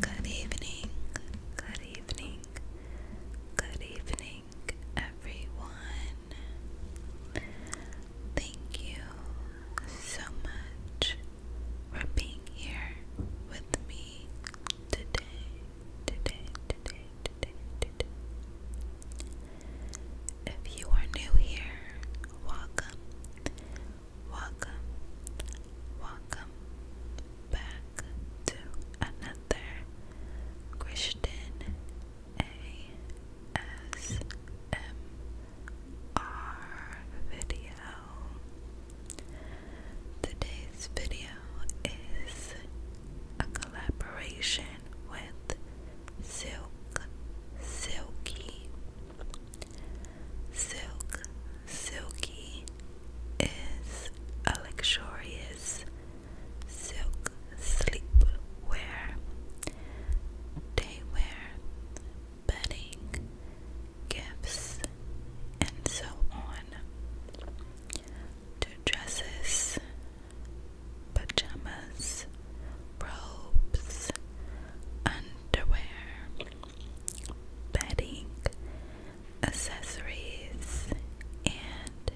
Good evening, good evening, good evening, everyone. Thank you so much for being here with me today today, If you are new here, welcome, welcome, welcome back to another Christian ASMR video. Today this video is a collaboration with Silk Silky. Silk Silky is a luxurious silk sleepwear, daywear, bedding, gifts, and so on dresses, pajamas, robes, underwear, bedding, accessories, and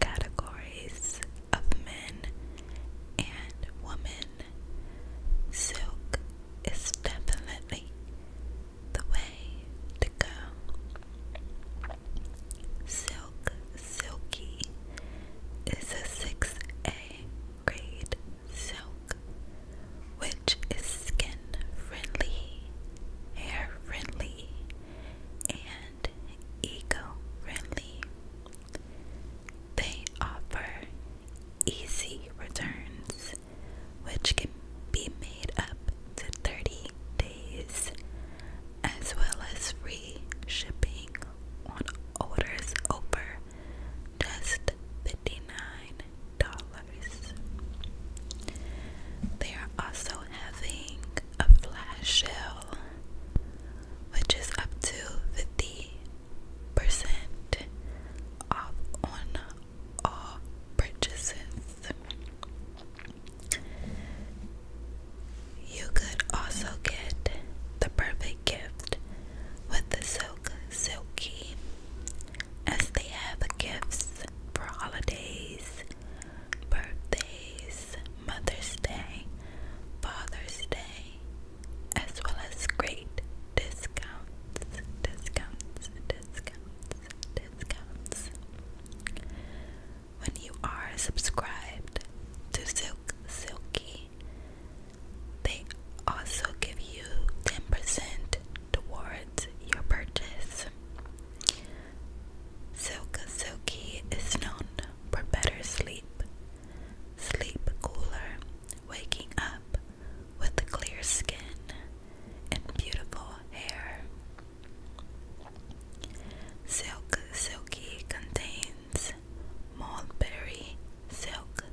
categories of men and women. Silk is definitely the way to go. Silk Silky is a 6A grade silk, which is skin friendly, hair friendly, and eco friendly. They offer easy returns which can be made up to 30 days, as well as free shipping on orders over just $59. They are also having a flash sale, which is up to 50% off on all purchases. You could also get the perfect gift with the Silk Silky, as they have gifts for holidays, birthdays, Mother's Day, Father's Day, as well as great discounts, discounts, discounts, discounts. When you are subscribed to Silk Silky, they also give you 10% towards your purchase. Silk Silky is known for better sleep sleep cooler, waking up with a clear skin and beautiful hair. Silk Silky contains mulberry silk,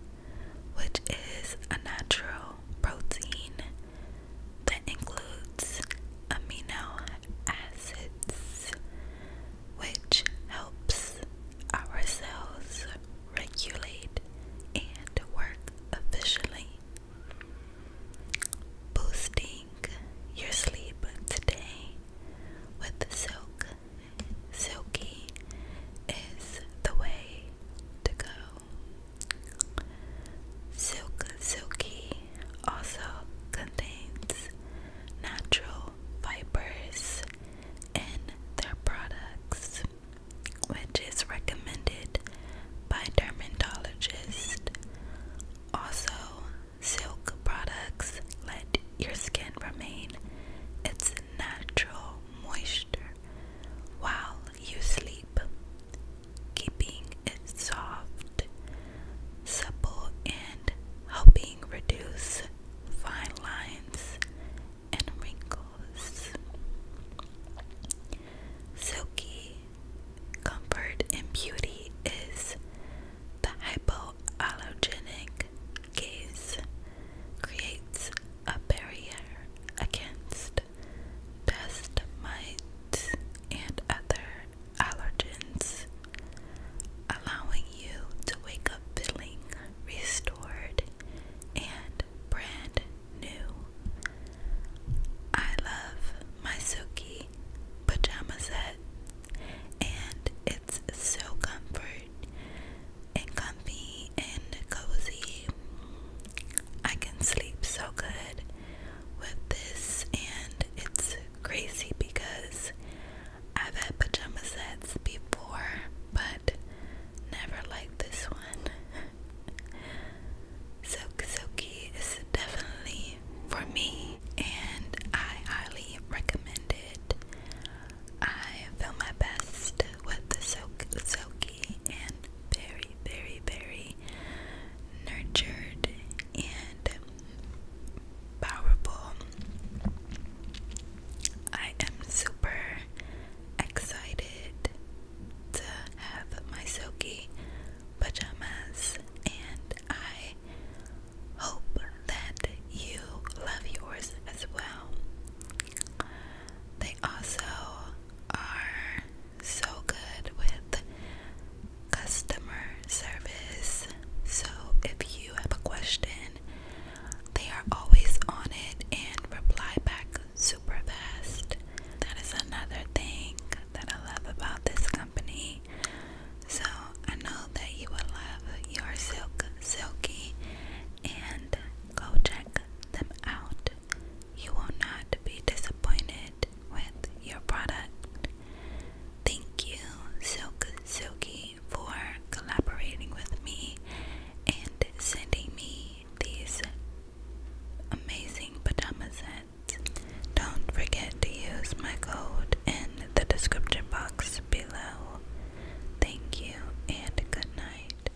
which is a natural protein that includes amino acids which helps our cells regulate and work efficiently. Boosting your sleep today with the silk silky is the way to go. Silk silky also contains natural Vipers and their products, which is recommended by dermatologists. Also, silk products let your skin remain its natural moisture while you sleep, keeping it soft, supple, and healthy reduce fine lines and wrinkles. Silky comfort and beauty is the hypoallergenic gaze creates a barrier against dust mites and other allergens, allowing you to wake up feeling restored and brand new. I love my Suki pajama set, and it's so comfort and comfy and cozy. I can sleep so good with this, and it's crazy because I've had pajama sets before, but never like this one. Silk Silky is definitely for me, and I highly recommend it. I feel my best with the Silk Silky, and very, very, very nurtured and powerful. I am super excited to have my silky pajamas, and I hope that you love yours as well. They also are so good with customer service. So if you have a question, they are always on it and reply back super fast. That is another thing that I love about this company. So I know that you will love your silk silky and go check them out. You will not be disappointed with your product. Thank you, Silk Silky, for collaborating with me and sending me these amazing pajama Don't forget to use my code in the description box below. Thank you and good night.